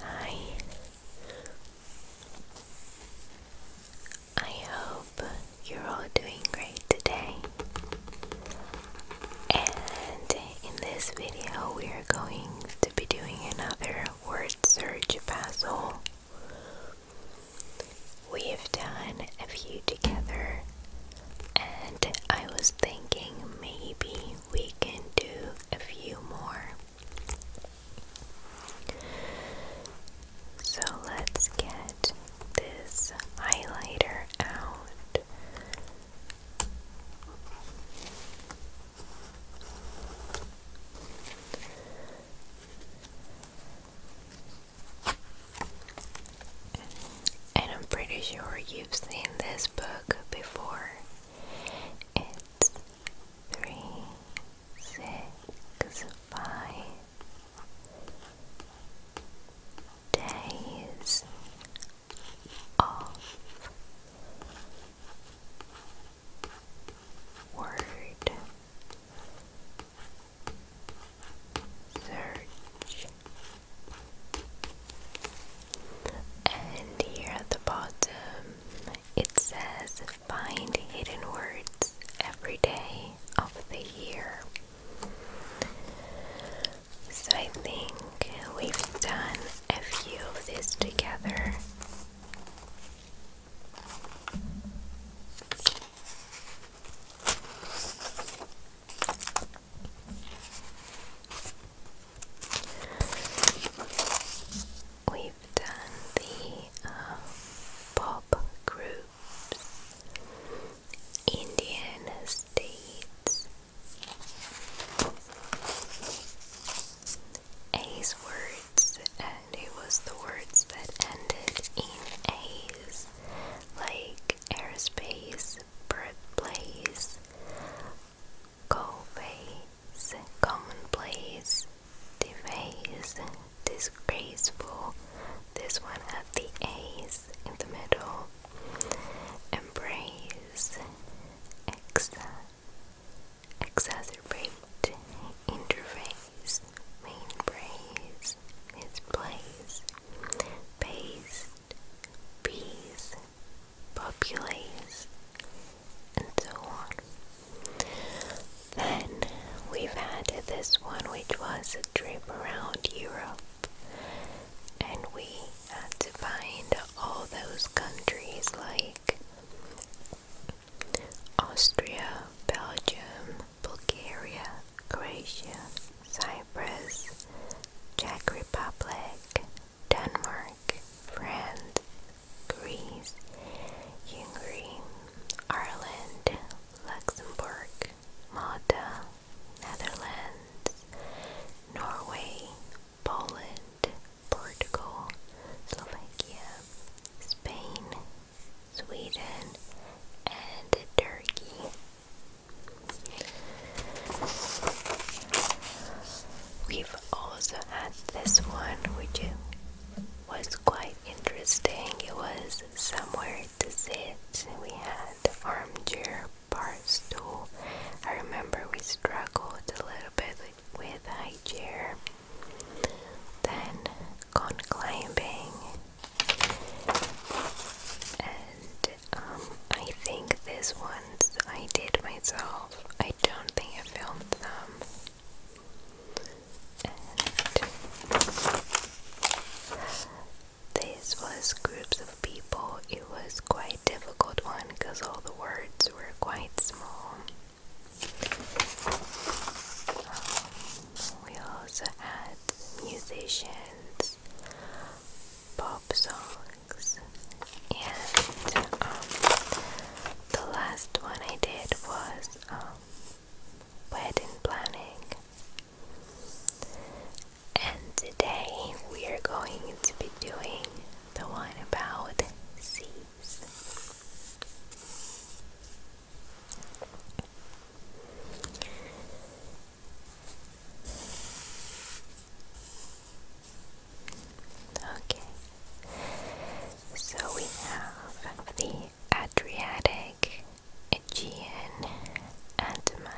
Hi. I hope you're all doing great today. And in this video, we are going to be doing another word search puzzle. We have done a few together, and I was thinking maybe we can do a few more. So let's get this highlighter out. And I'm pretty sure you've seen this book before. It's three, six, five days of word search. And here at the bottom, it says find hidden words every day of the year. So I think we've done a few of these together. We've done the um, pop groups, Indian states, A's words, and it was the words that ended in A's like airspace, birthplace, coface, commonplace, deface, disgraceful, this one at the A's in the middle, embrace, exa exacerbate, interface main praise, it's place, based, peace, populace, and so on. Then we've had this one, which was a trip around Europe, and we had to find all those countries like Austria, Belgium, Bulgaria, Croatia, Cyprus, Czech Republic, Denmark, France, Greece, Hungary, Ireland, Luxembourg, Malta, Netherlands, Norway, Poland, Portugal, Slovakia, Spain, Sweden, and Turkey. We've also had this one, which was quite interesting. It was somewhere to sit. We had the armchair bar stool. I remember we struggled a little bit with high chair. Then gone climbing and um, I think these ones I did myself. I don't think I filmed them. this was groups of people. It was quite difficult one because all the words were quite small. Um, we also had musicians, pop songs, and um, the last one I did was um, wedding planning. And today we are going to be doing the one about seas. Okay, so we have the Adriatic, Aegean, Andaman,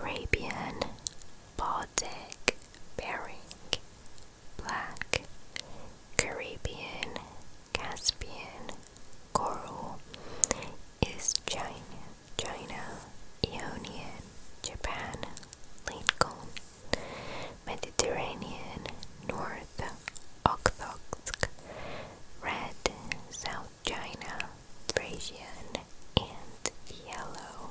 Arabian, Baltic, Bering, Black, Caribbean, Caspian, Coral is China, China, Ionian, Japan, Lincoln, Mediterranean, North, Okhotsk, Red, South China, Thracian, and Yellow.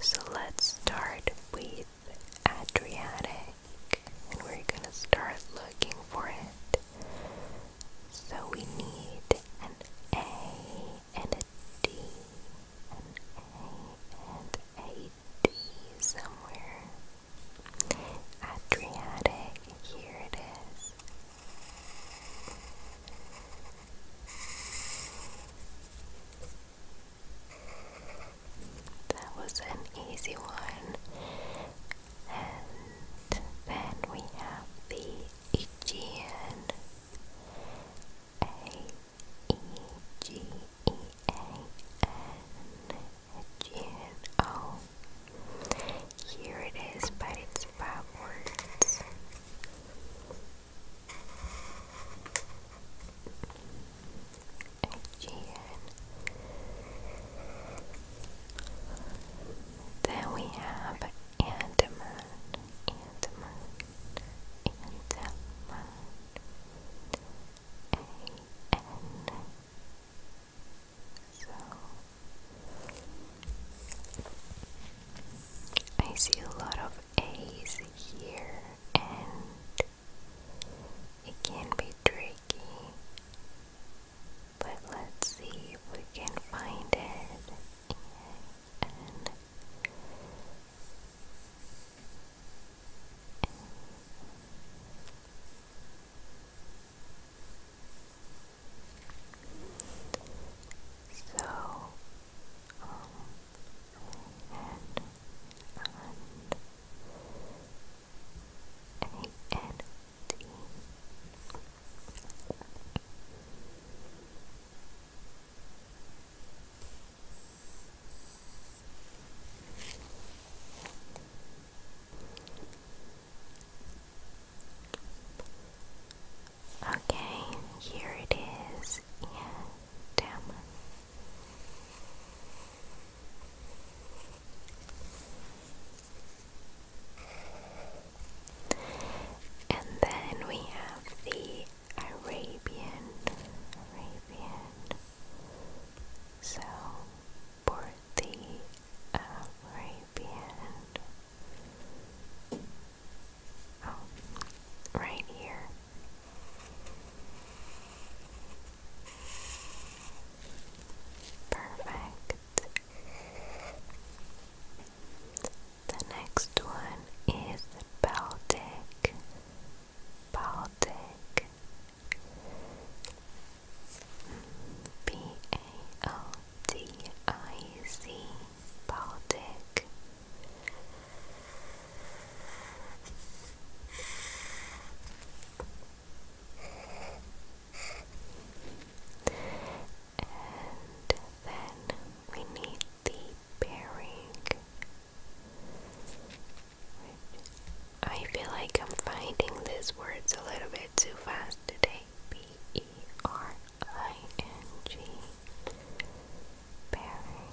So let's start with Adriatic and we're gonna start looking for it. So we need an A and a D, an A and a D somewhere. Adriatic, here it is. That was an easy one. And then we have the Aegean. A E G E A N here it is, but it's backwards. Aegean. Then we have Andaman, Andaman, Andaman, A-N. So, I see a lot of A's here, and it can be tricky but let's see if we can find it so, and, and, and, Okay, here it is. Yeah, damn. And then we have the Arabian, Arabian. So for the Arabian, oh, right here. Perfect. The next one is Baltic. Baltic. B A L D I C. Baltic. And then we need the bearing. I feel like I'm finding these words a little bit too fast today. B E R I N G. Bearing.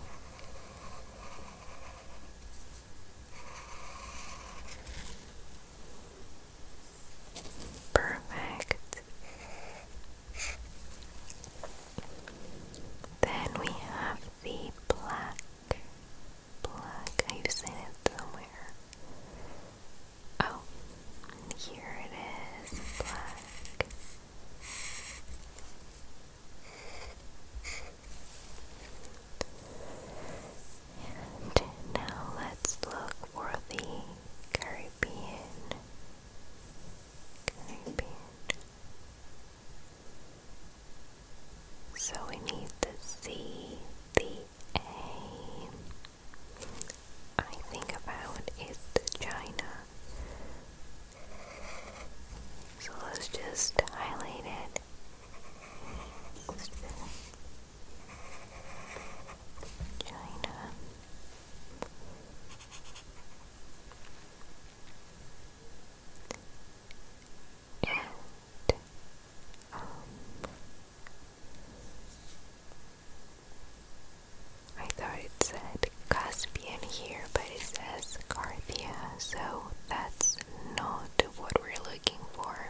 Perfect. Then we have the black. Black. I've seen it somewhere. Oh, here it is. Black. And now let's look for the Caribbean. Caribbean. So we need the C, the A. I think about is the China. So let's just highlight it. China. And um, I thought it said Caspian here, but it says Carthia, so that's not what we're looking for.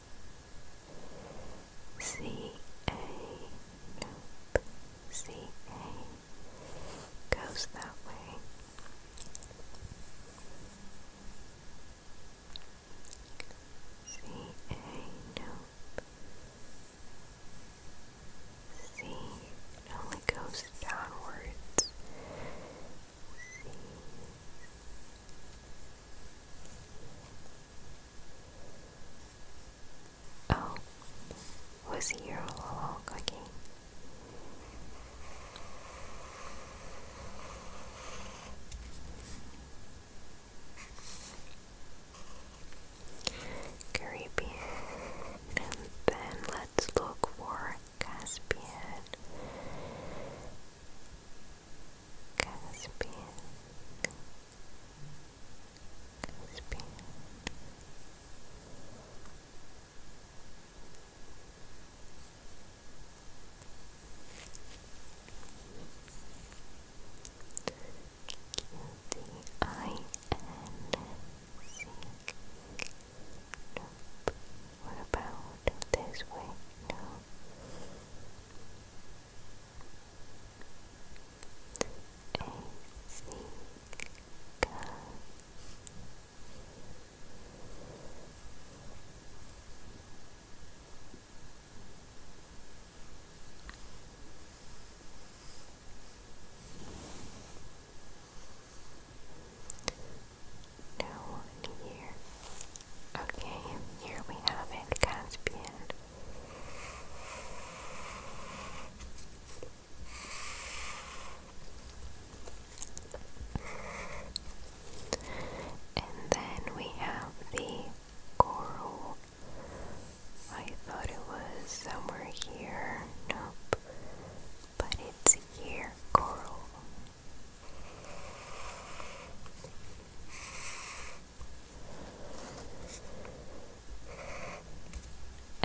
C A no, C A goes that way. C A no, C it only goes downwards. Oh, was he here all along? Okay. Caribbean, and then let's look for Caspian Caspian Caspian Q-D-I-N C Nope. What about this way? No. A seeker. here. Okay, here we have it, Caspian. And then we have the coral. I thought it was somewhere here. Nope. But it's here, coral.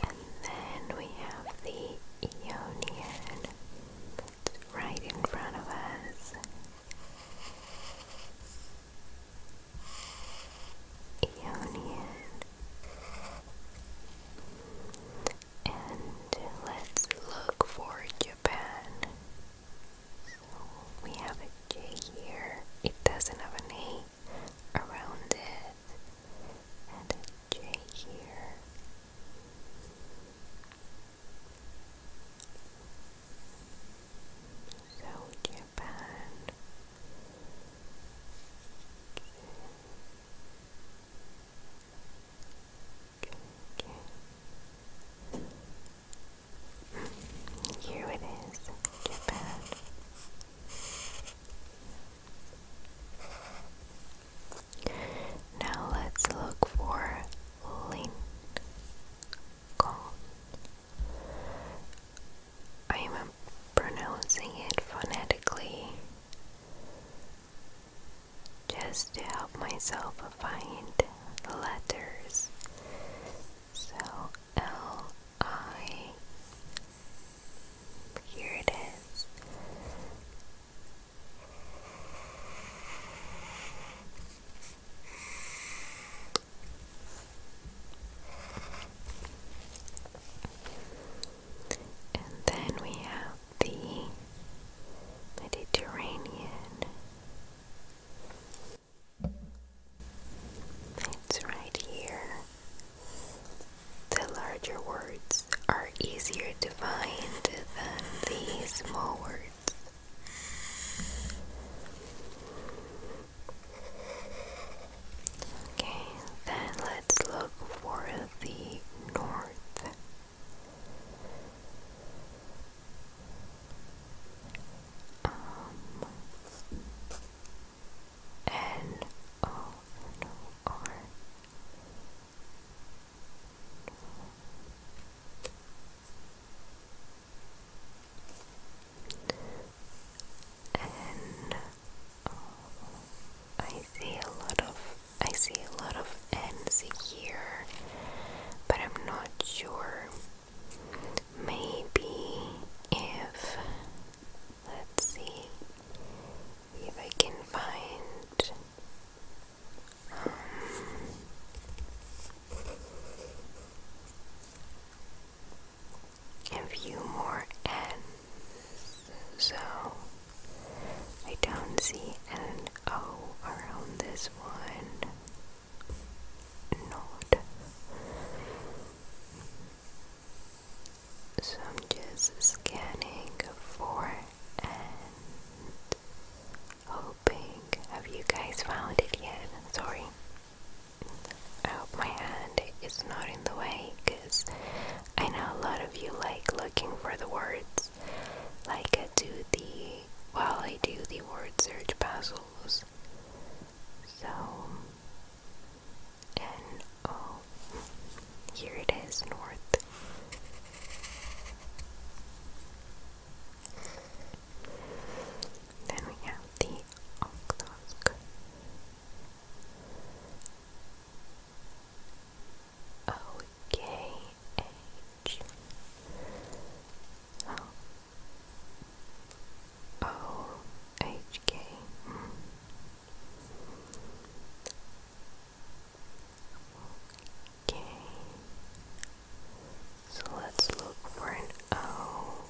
And then we have the Ionian right in front of us. Ionian. And let's look for Japan. So we have a J here, it doesn't have an A around it, and here. So Japan. Okay. Okay. Here it is, Now let's look for Lincoln. I am pronouncing it phonetically just to help myself find the letters so L I. Here it is. And then we have the Mediterranean. It's right here. The larger words are easier to find than these small words. Okay, then let's look for the north. Um, I see a lot of I see a lot of N's here, but I'm not sure Maybe if, let's see, if I can find um, a few more N's, so I don't see an O around this one not. So I'm just scanning for and hoping. Have you guys found it yet? Sorry. I hope my hand is not in the way because I know a lot of you like looking for the words. Like I do the while I do the word search puzzle goes. So, oh, here it is, north. Then we have the Okhotsk. O K H O oh, O H K. Okay. So let's look for an O.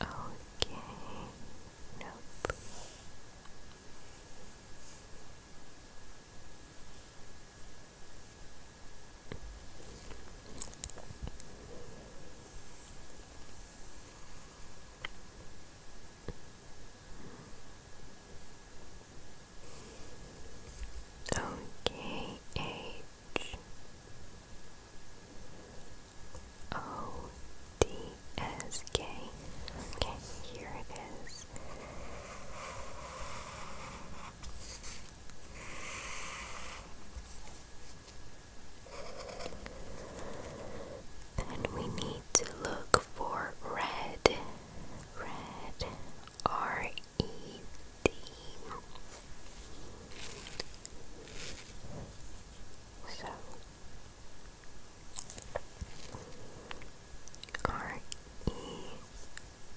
Okay. Nope. Okay, H O D S K. Okay, here it is. Then we need to look for red, red, R E D. So R E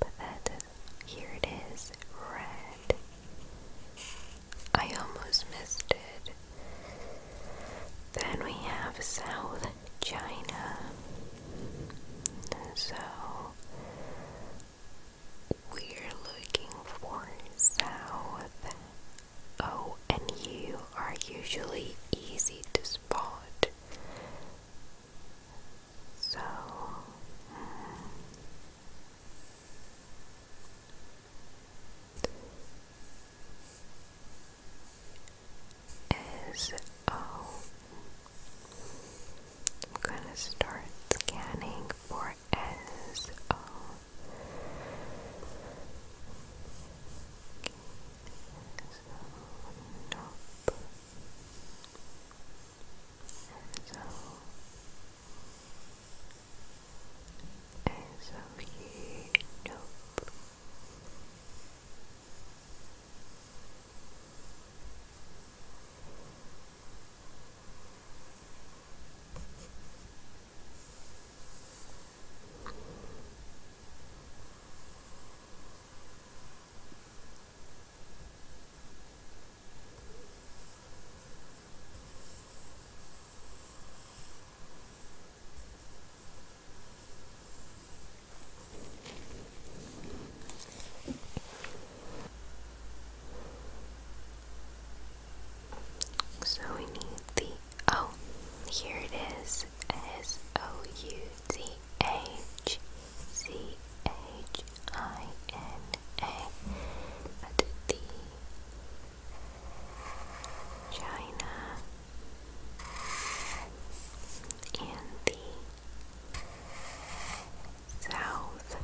But that is, here it is, red. I almost missed it. Then we have South China. So we're looking for South. O oh, and you are usually easy to spot. So mm, am oh, gonna start scanning for so nope so it's so we need the oh, here it is S O U D H C H I N A at the China and the South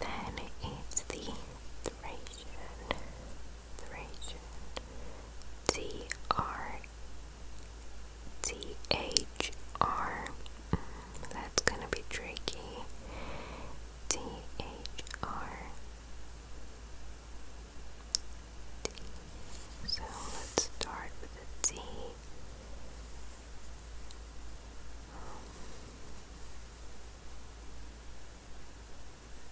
then it's the Thracian T R T H R. Mm, that's gonna be tricky. T H R. T. So let's start with a T. Um,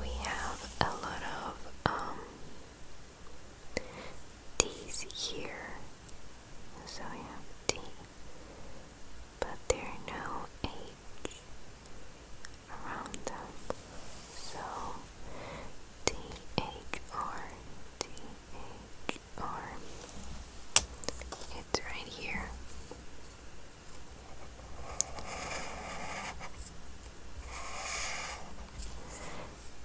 We have a lot of D's um, here. So we D. But there no H around us. So THR, it's right here.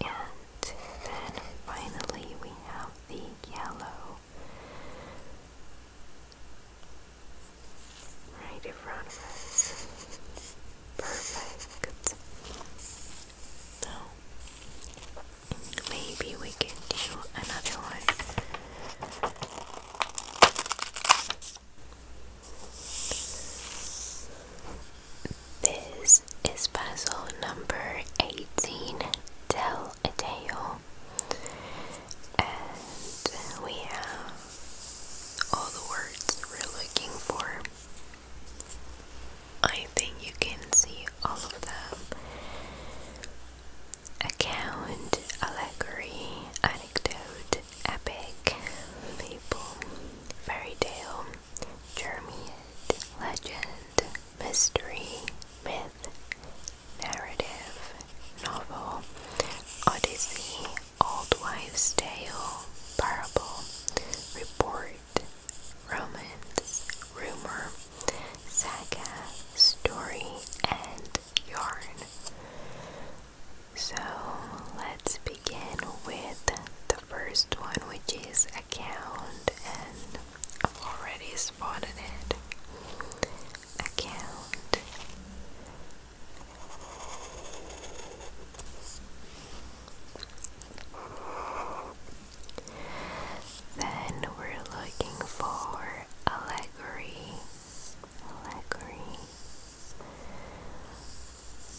And then finally we have the yellow right in front of us. Perfect. Now, maybe we can do another one. This is puzzle number 18 Tell a Tale, and we have all the words we're looking for. I think you can see all of them account, allegory, anecdote, epic, fable, fairy tale, jeremiad, legend, mystery, myth, narrative, novel, odyssey, Old Wives' Tale, Parable, Report, Romance, Rumor, Saga, Story, and Yarn. So let's begin with the first one, which is Account, and I've already spotted it. Account. Then we're looking for allegory, allegory,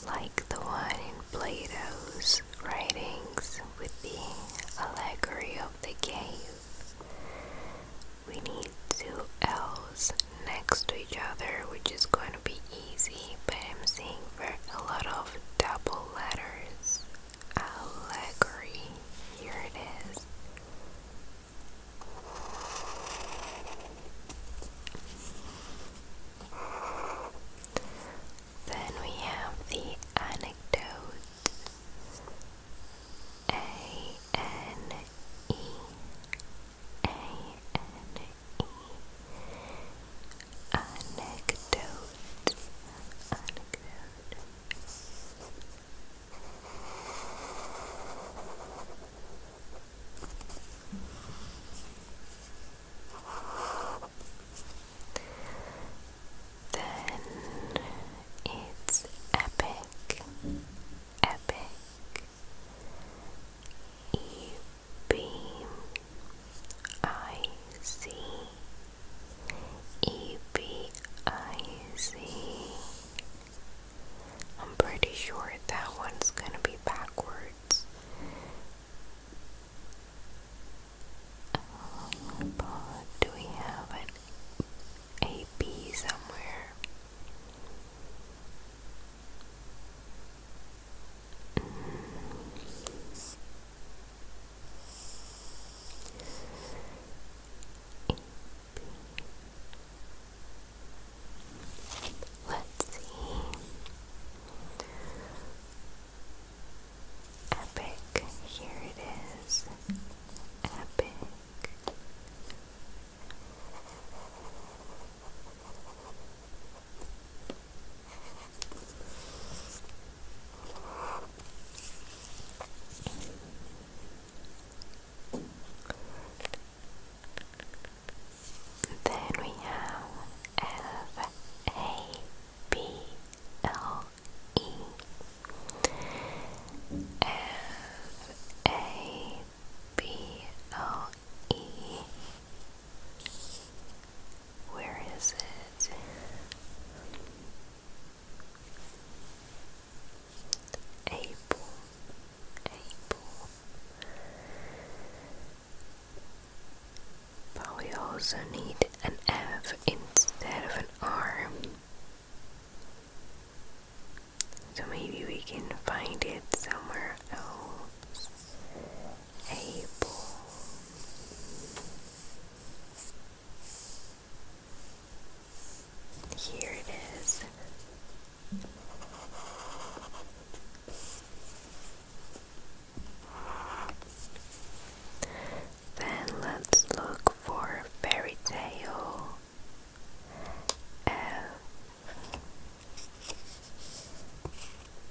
like the one in Plato's writings with the allegory of the cave. We need two L's next to each other which is going to be easy but I'm seeing a lot of double letters allegory here it is then we have the anecdote a N E anecdote anecdote then it's epic, epic, E B I C E B I C. I'm pretty sure that one's going to be backwards. Um, do we have an A B somewhere? Let's see. Epic, here it is. Epic. Then we have F A B L E F A B L E. Where is it? April. April. But we also need an F instead of an R. So maybe we can find it somewhere else able here it is then let's look for fairy tale F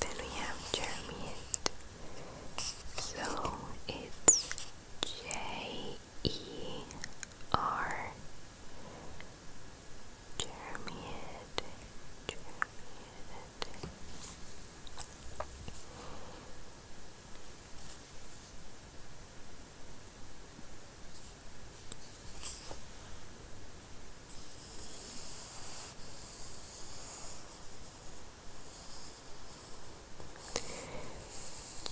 Then we have Jermid. So it's J E R Jeremy Head, Jeremy J,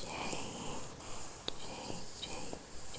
J, J, J,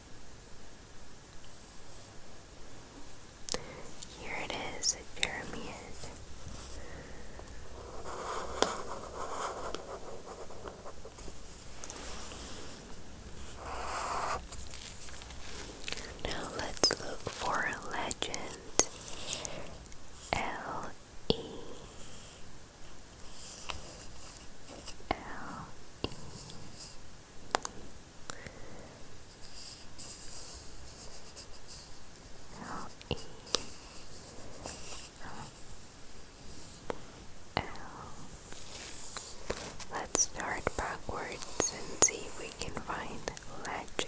here it is, a Now let's look for a legend. L E Let's start backwards and see if we can find legend.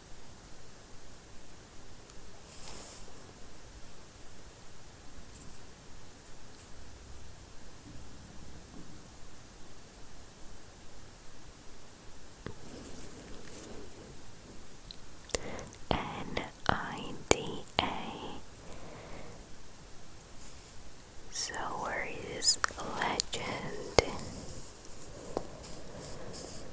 N I D A. So where is legend?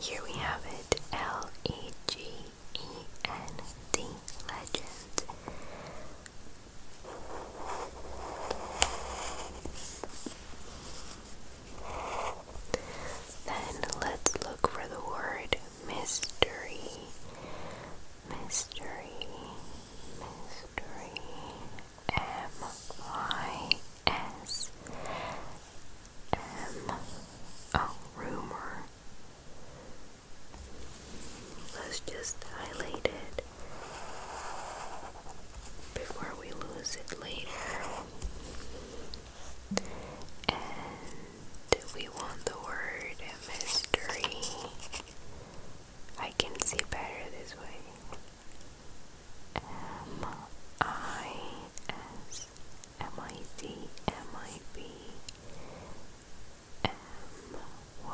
Here we have it L E G E N D legend. Then let's look for the word mystery. Mystery, mystery, M Y S M. rumor. Let's just highlight it before we lose it later. And we want the word mystery. I can see better this way. M I S M I D M I B M Y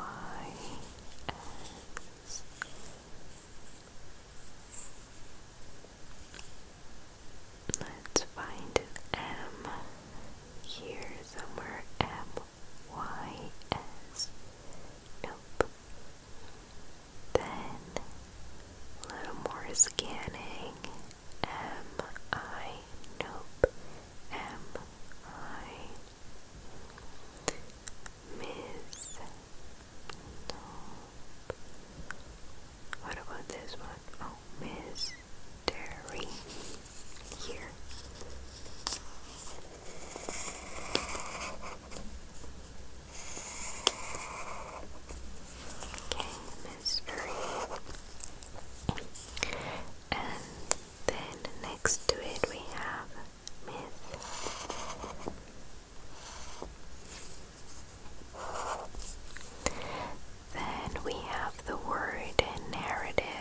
S Let's find M here somewhere. M Y S. Nope. Then a little more scanning. M I. Nope. M I. Miss. Nope. What about this one? Oh, Miss Here mystery. And then next to it we have myth. Then we have the word narrative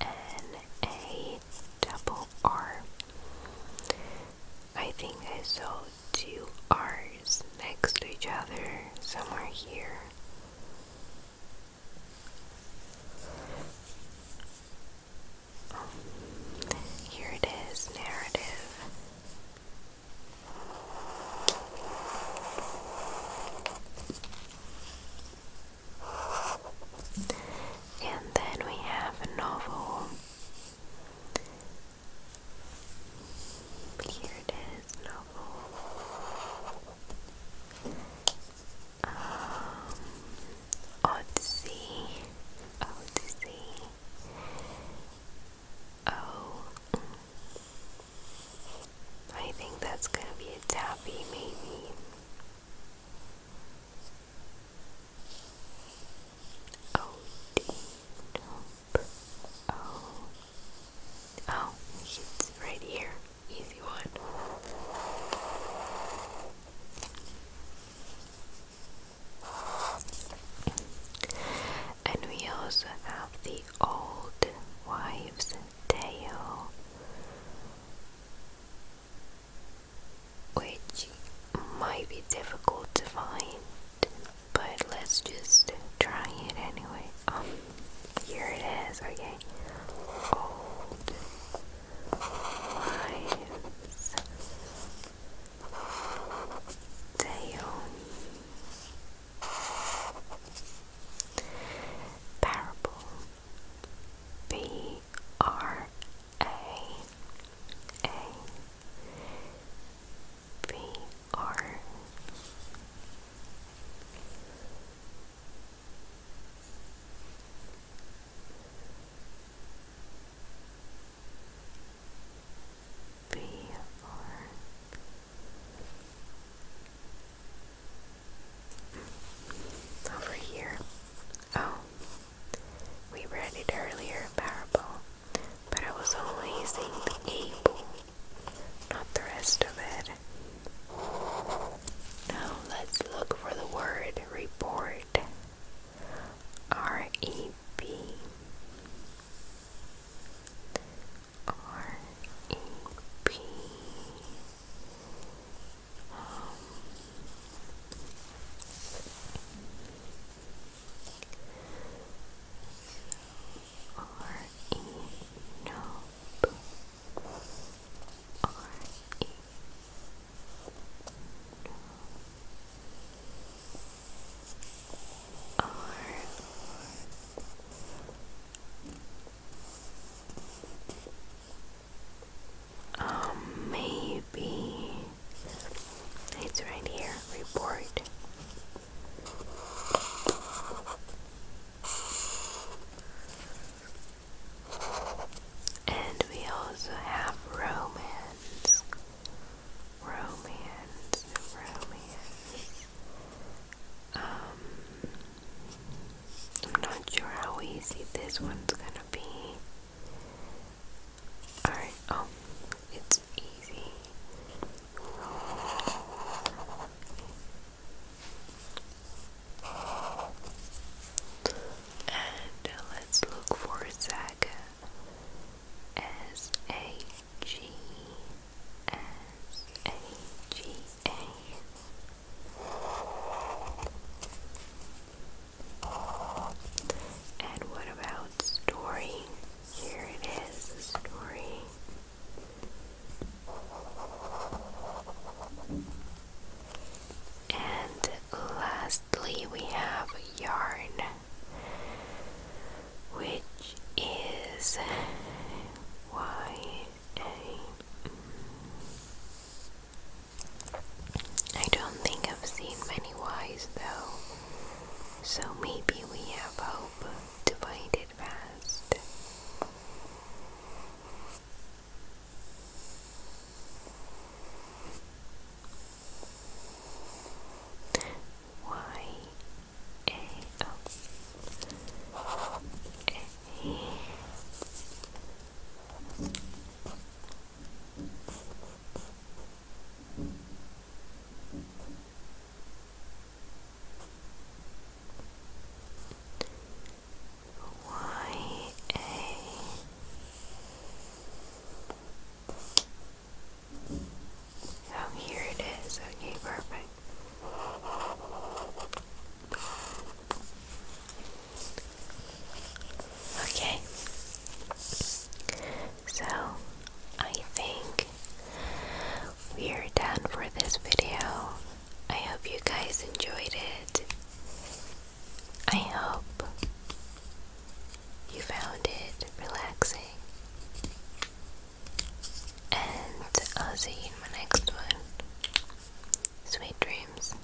N A think I saw two R's next to each other somewhere here. here it is, narrative. And then we have a novel. Here it is, novel. Um, oh. I think that's gonna be a tappy, maybe. O D nope. Oh. Oh, it's right here. Easy one. And we also have the old wives' tale which might be difficult to find, but let's just try it anyway. Um, here it is, okay. Old Wives Tale Parable B R A A B R B R over here. Oh, we read it earlier, parable, but I was only using the able, not the rest of it. Now let's look for the word report. R E B R E P um, or E no or E no or um, maybe it's right here. Report. And we also have romance. Romance, romance. Um, I'm not sure how easy this one's gonna be. Alright, oh, it's easy. And let's look for Saga. S A G S A G A. And what about story? Here it is, story. And lastly, we have yarn, which is Y A. I don't think I've seen many wise, though, so maybe we have hope to find it fast. Y A O A Y A Oh, here it is. Okay, perfect. Okay, so I think we're done for this video. I hope you guys enjoyed it. I hope you found it relaxing. And I'll see you in my next one. Sweet dreams.